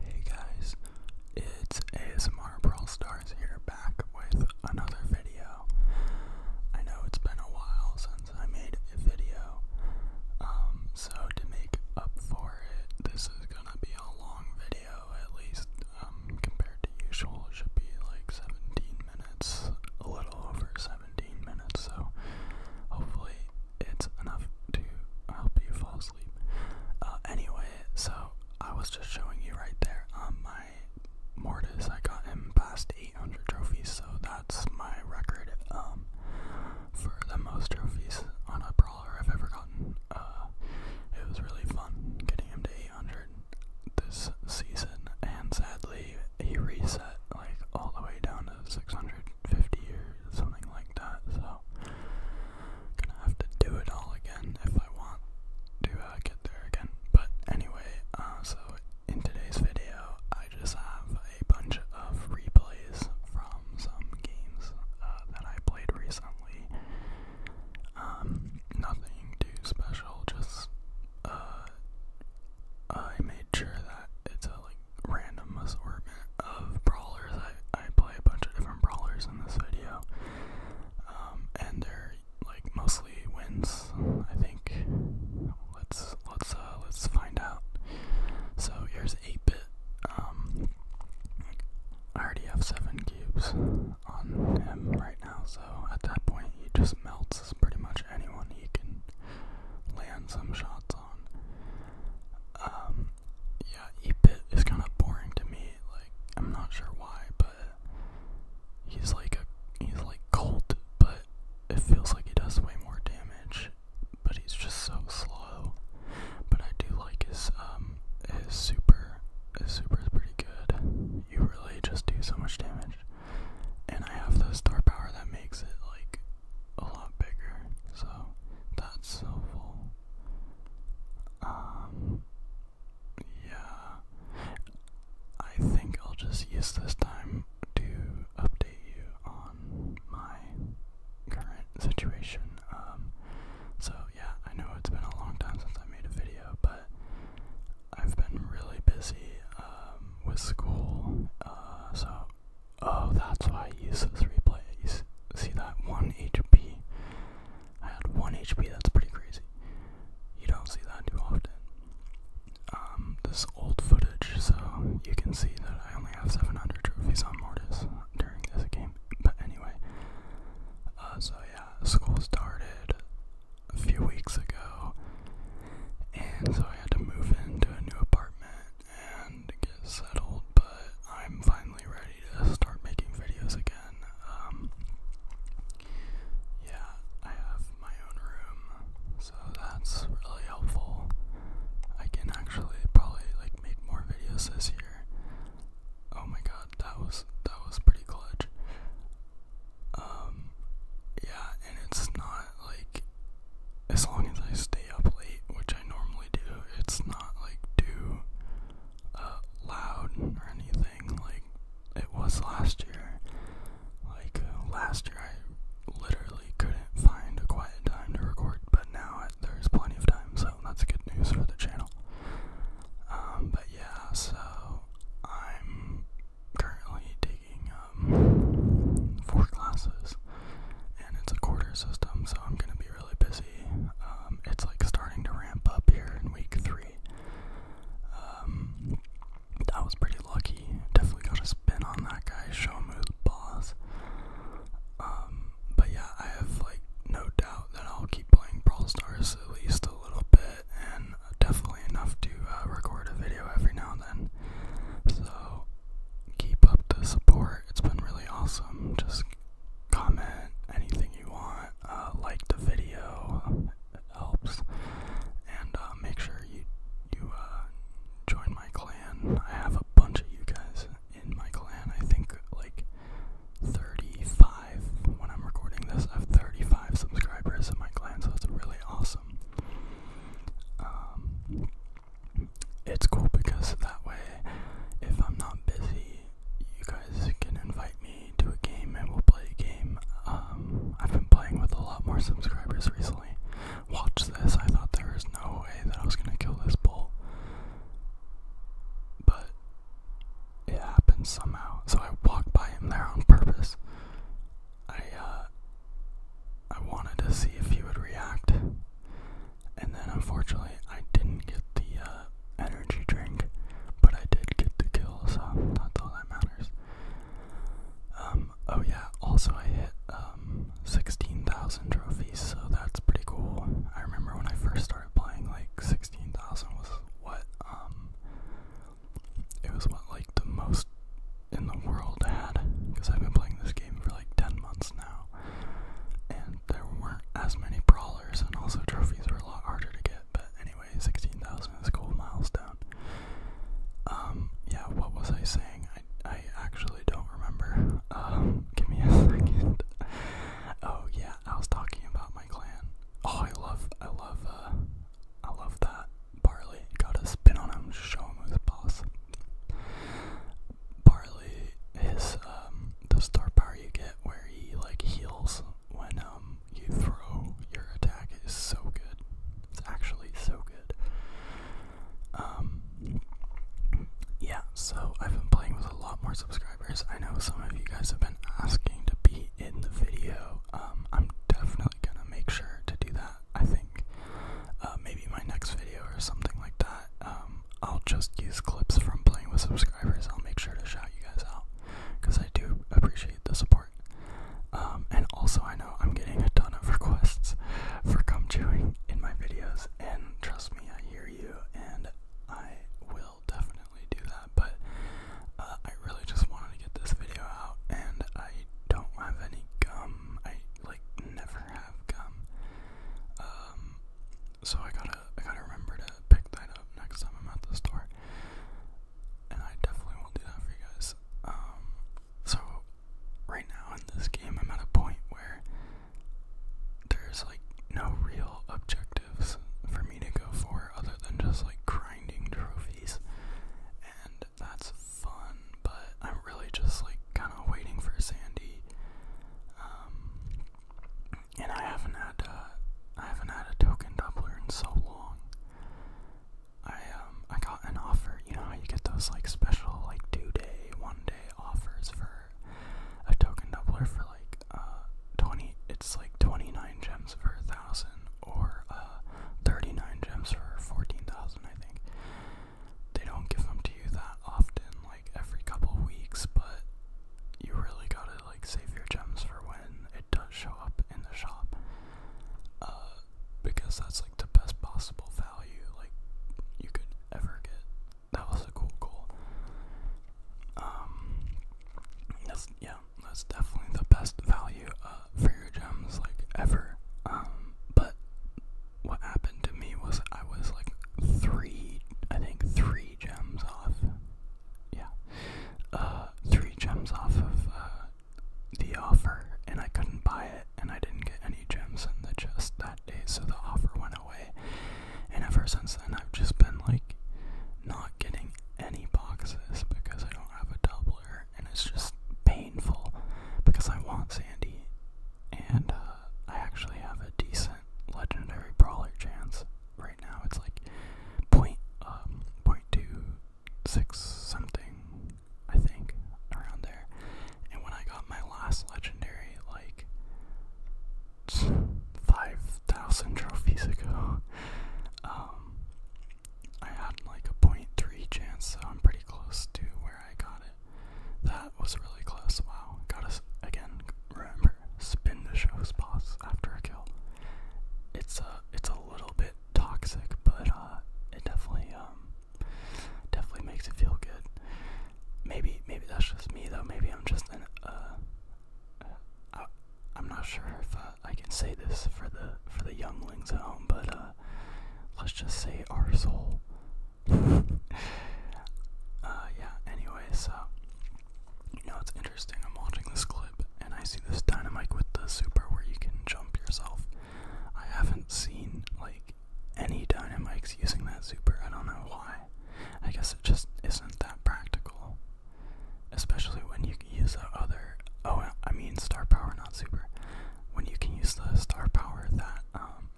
Hey guys, it's ASMR Brawl Stars here back with another video. I know it's been a while since I made a video, um, so to make up for it, this is gonna be a long video at least, um, compared to usual. should be like 17 minutes, a little over 17 minutes, so hopefully it's enough to help you fall asleep. Uh, anyway, so I was just showing you right there on um, my Mortis. I got him past 800 trophies, so that's my record um, for the most trophies on a brawler I've ever gotten. Uh, it was really fun getting him to 800 this season, and sadly, he reset like all the way down to 650 or something like that. So so gonna have to do it all again if I want to uh, get there again. But anyway, uh, so in today's video, I just have a bunch of replays from some games uh, that I played recently. Um, nothing too special, just uh, I made sure that it's a random assortment of brawlers. I, I play a bunch of different brawlers in this video. Um, and they're like mostly wins, I think. Let's let's uh let's find out. So here's 8-bit. Um, I already have seven cubes on him right now, so at that point he just melts pretty much anyone he can land some shots on. Um, yeah, Epit is kind of boring to me. Like, I'm not sure why, but he's like a he's like cold, but it feels like he does way more damage. But he's just so slow. But I do like his um his super. His super is pretty good. You really just do so much damage, and I have the star power that makes it like a lot bigger, so that's helpful. Um, yeah, I think I'll just use this time to update you on my current situation. Um, so yeah, I know it's been a long time since I made a video, but I've been really busy um, with school, uh, so Oh, that's why I use those replays. See that one HP? I had one HP. That's pretty crazy. You don't see that too often. Um, this old footage, so you can see that I only have 700 trophies on Mortis during this game. But anyway, uh, so yeah, school started a few weeks ago, and so I had to move into a new apartment and get settled, but I'm finally ready to start making videos again. Um, yeah, I have my own room, so that's really helpful. I can actually probably like make more videos this year. Oh my god, that was that was pretty clutch. Um, yeah, and it's not like as long as I stay up late, which I normally do, it's not like too uh, loud or anything like it was last year. Like uh, last year, I literally couldn't find a quiet time to record, but now there's plenty of time, so that's good news for the channel. Um, but yeah, so I'm currently taking um, four classes, and it's a quarter system, so I'm gonna be really busy. Um, it's like starting to ramp up here in week three. That um, was pretty lucky. Definitely got a spin on that guy, show him who's boss. but yeah, I have like no doubt that I'll keep playing Brawl Stars at least a little bit, and definitely enough to uh, record a video every now and then. So so keep up the support. It's been really awesome. Just comment anything you want. Uh, like the video. helps. And uh, make sure you you uh, join my clan. I have a bunch of you guys in my clan. I think like 35 when I'm recording this. I have 35 subscribers in my clan, so that's really awesome. Um, it's cool because that way, if I'm not busy, you guys can invite me to a game and we'll play a game. Um, I've been playing with a lot more subscribers recently. Watch this. I thought there was no way that I was gonna kill this bull, but it happened somehow. So I walked by him there on purpose. I uh, I wanted to see if you would react, and then unfortunately I didn't get the uh, energy drink, but I did get the kill, so that's all that matters. Um, oh yeah, also I hit um 16,000 trophies, so that's pretty cool. I remember when I first started playing, like 16,000 was what um it was what like the most in the world had because I've been playing this game for like 10 months now and there weren't as many brawlers and also trophies were a lot harder to get but anyway 16,000 is a cool milestone um yeah what was I saying I, I actually don't remember um give me a second oh yeah I was talking about my clan oh I love I love uh, I love that Barley got a spin on him, show him who's boss. Barley, his um, the star power you get where he like heals when um you throw your attack is so good. It's actually so good. Um, yeah. So I've been playing with a lot more subscribers. I know some of you guys have been asking to be in the video. Um, I'm definitely gonna make sure to do that. I think uh, maybe my next video or something like that. Um, I'll just use clips from playing with subscribers. I'll make sure to shout you guys out because I do appreciate the support. Um, and also, I know I'm getting a ton of requests for come chewing in my videos, and trust me, I hear you, and I will definitely do that but uh, I really just wanted to get this video out, and I don't have any gum. I like never have gum. Um, so I gotta I gotta remember to pick that up next time I'm at the store, and I definitely will do that for you guys. Um, so right now in this game, I'm at a point where there's like no real objectives for me to go for other than just like grinding trophies. And that's fun, but I'm really just like kind of waiting for Sandy. Um, and I haven't had a, uh, I haven't had a token doubler in so long. I um I got an offer. You know how you get those like special like two day, one day offers for a token doubler for like uh twenty. It's like twenty nine gems for a thousand or uh, 39 gems for 14,000, I think. They don't give them to you that often, like every couple weeks, but you really gotta like save your gems for when it does show up in the shop. Uh, because that's like the best possible value like you could ever get. That was a cool goal. Um, yeah, that's definitely the best value uh, for your gems like ever. Um, but what happened to me was I was like three, I think three gems off. Yeah, uh, three gems off of uh, the offer, and I couldn't buy it, and I didn't get any gems in the chest that day, so the offer went away. And ever since then, I've just been like not getting any boxes because I don't have a doubler, and it's just painful because I want Sandy, and uh, I actually have a decent legendary brawler chance right now. It's like point um point two six something, I think, around there. And when I got my last legendary, like 5,000 trophies ago. Um, I had like a point three chance, so I'm pretty close to where I got it. That was really close. Wow. Gotta, again, remember, spin the show's boss after a kill. It's a, it's a little bit toxic, but uh, it definitely, um, definitely makes it feel good. Maybe, maybe that's just me though. Maybe I'm just an, uh, I, am not sure if uh, I can say this for the for the younglings at home, but uh, let's just say our soul. Uh, yeah. Anyway, so you know it's interesting. I'm watching this clip and I see this dynamite with the super where you can jump yourself. I haven't seen like any dynamites using that super. I don't know why. I guess it just isn't that practical especially when you use the other. Oh, I mean star power, not super. When you can use the star power that um,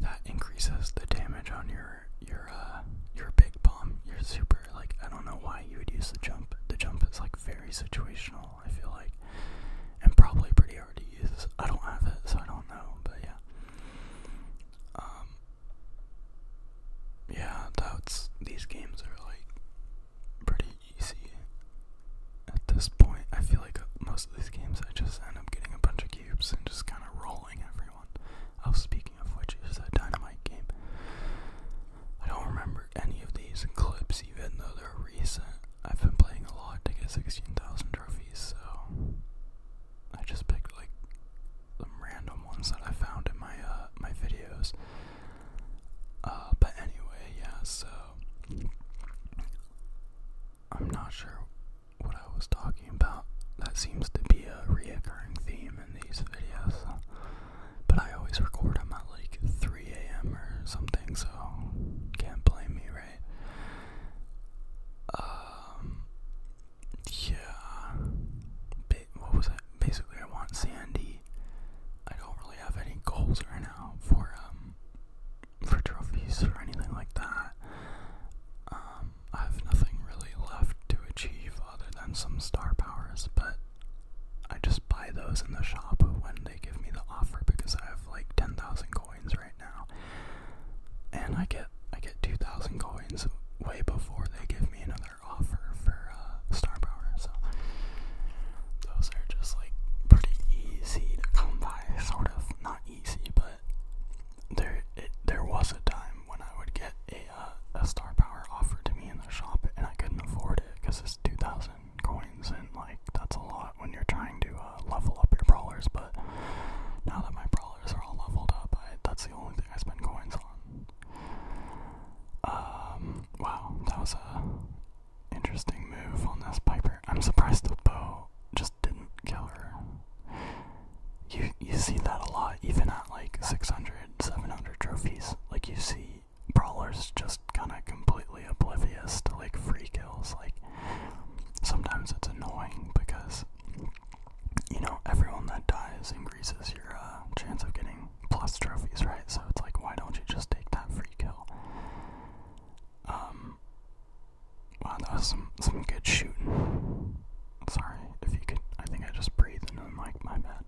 that increases the damage on your your uh, your big bomb, your super. Like I don't know why you would use the jump. The jump is like very situational. I feel like, and probably pretty hard to use. I don't have it, so I don't know. But yeah. Um, yeah, that's these games are like pretty easy at this point. I feel like most of these games I just end up getting a bunch of cubes and just kind of rolling everyone. Oh, speaking of which, is that dynamite game? I don't remember any of these clips, even though they're recent. I've been playing a lot to get 16,000 trophies, so I just picked like some random ones that I found in my uh, my videos. Uh, but anyway, yeah. So I'm not sure what I was talking about. That seems to be a reoccurring theme in these videos. But I always record them at like 3 a.m. or something, so can't blame me, right? Um, yeah. Ba what was it? Basically, I want Sandy. I don't really have any goals right now for um for trophies or anything like that. Um, I have nothing really left to achieve other than some star powers, but I just buy those in the shop when they give me the offer because I have like ten thousand coins right now, and I get I get two thousand coins way before they give me another offer for uh, star power. So those are just like pretty easy to come by, sort of not easy, but there it, there was a time when I would get a uh, a star power offered to me in the shop, and I couldn't afford it because it's two thousand coins, and like that's a lot when you're trying to uh, level up your brawlers. But now that my brawlers are all leveled up. I, that's the only thing I spend coins on. Um, wow, that was a interesting move on this Piper. I'm surprised the bow just didn't kill her. You you see that a lot, even at like 600, 700 trophies. Like you see brawlers just kind of completely oblivious to like free kills. Like sometimes it's annoying because you know, everyone that dies increases your uh, chance of getting plus trophies, right? So it's like, why don't you just take that free kill? Um, wow, that was some, some good shooting. Sorry, if you could, I think I just breathed into the my bad.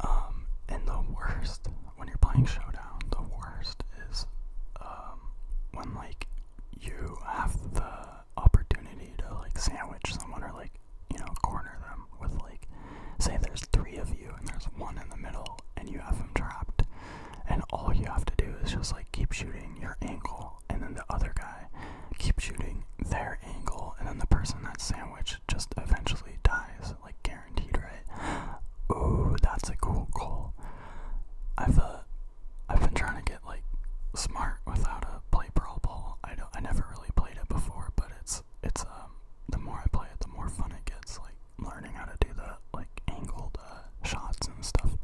Um, and the worst, when you're playing Showdown, the worst is, um, when, like, you have the opportunity to like sandwich someone or like you know corner them with like say there's three of you and there's one in the middle and you have them trapped and all you have to do is just like keep shooting your ankle and then the other guy keep shooting their ankle and then the person that's sandwiched just eventually dies like guaranteed right ooh that's a cool goal i have feel I've been trying to get like smart without a play brawl ball. I don't I never really played it before, but it's it's um the more I play it the more fun it gets, like learning how to do the like angled uh, shots and stuff.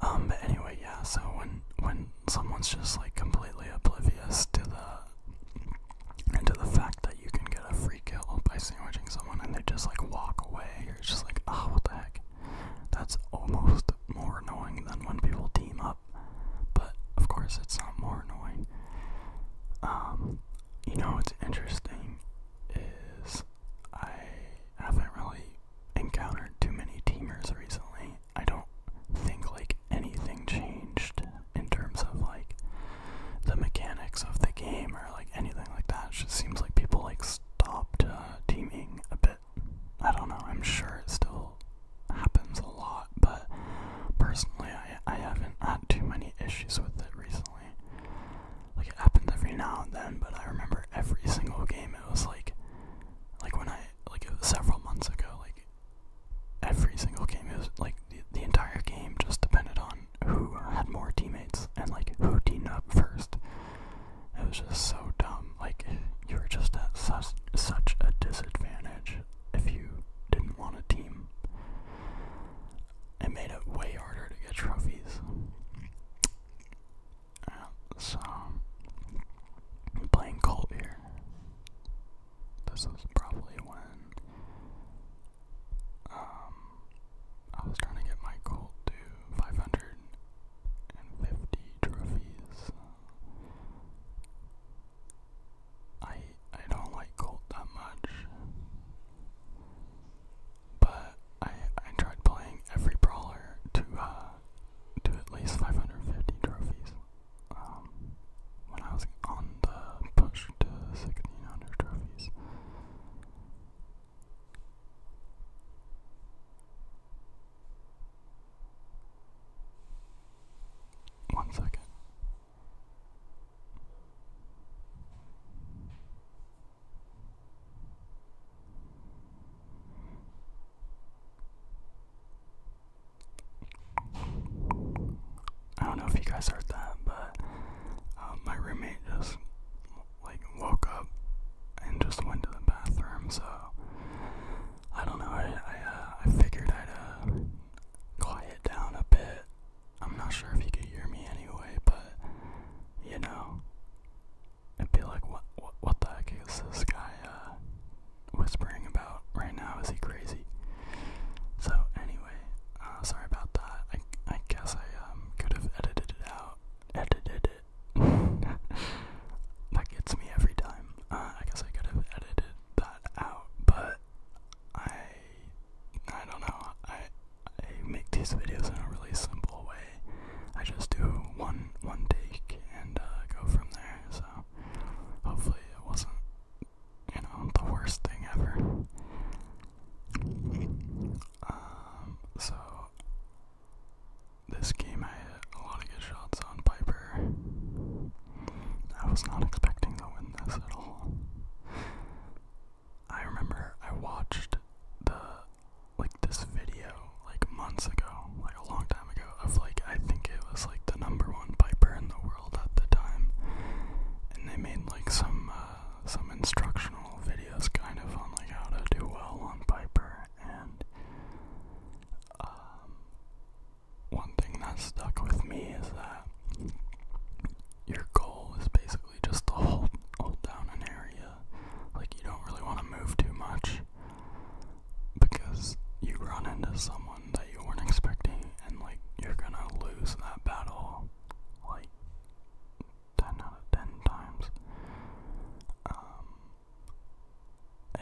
Um but anyway, yeah, so when when someone's just like completely oblivious to the and the fact that you can get a free freak by sandwiching someone and they just like walk away. You're just like, oh, what the heck? That's almost more annoying than when people team up, but of course it's not more annoying. Um, you know what's interesting is I haven't really encountered too many teamers recently. I don't think like anything changed in terms of like the mechanics of the game like anything like that. It just seems like people like stopped uh, teaming a bit. I don't know. I'm sure it still happens a lot, but personally, I I haven't had too many issues with it recently. Like it happens every now and then, but I remember every single game. It was like, like when I like it was several months ago. Like every single game, it was like the, the entire game just depended on who had more teammates and like who teamed up first. It was just so dumb. Like you were just at such such a disadvantage if you didn't want a team. It made it way harder to get trophies. Uh, so playing Colt here. This is probably when um, I was trying to get my goal to 550 trophies. I I don't like gold that much, but I I tried playing every brawler to uh to at least 550 trophies. Um, when I was on the push to six hundred trophies, one second. I don't know if you guys heard that, but um, my roommate just like woke up and just went to the bathroom. So I don't know. I uh, I, figured I'd uh, quiet down a bit. I'm not sure if you could hear me anyway, but you know, it'd be like what what what the heck is this guy uh, whispering about right now? Is he crazy? So anyway. Uh, sorry about that. I I guess I um, could have edited it out. Edited it. that gets me every time. Uh, I guess I could have edited that out, but I I don't know. I I make these videos in a really simple way. I just do one one take and uh, go from there. So hopefully it wasn't you know, the worst thing ever. Um, so this game I hit a lot of good shots on Piper. I was not expecting to win this at all. I remember I watched the like this video like months ago, like a long time ago, of like I think it was like the number one Piper in the world world at the time, and they made like some uh, some instructional videos, kind of on like how to do well on Piper. And um, one thing that stuck with me is that your goal is basically just to hold hold down an area, like you don't really want to move too much because you run into someone that you weren't expecting, and like you're gonna lose that battle like 10 out of 10 times. Um,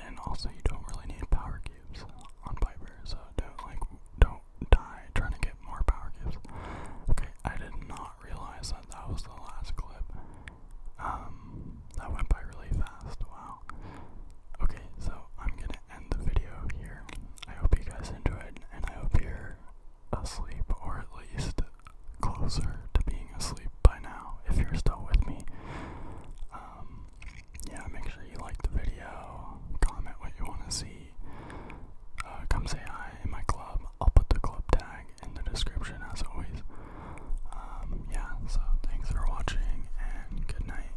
and also, you don't really need power cubes on Piper, so don't like don't die trying to get more power cubes. Okay, I did not realize that that was the last clip. Um, that went by really fast. Wow. Okay, so I'm gonna end the video here. I hope you guys enjoyed, and I hope you're asleep, or at least closer to being asleep by now if you're still with me. Um, yeah, make sure you like the video, comment what you want to see, uh, come say hi in my club. I'll put the club tag in the description as always. Um, yeah, so thanks for watching, and good night.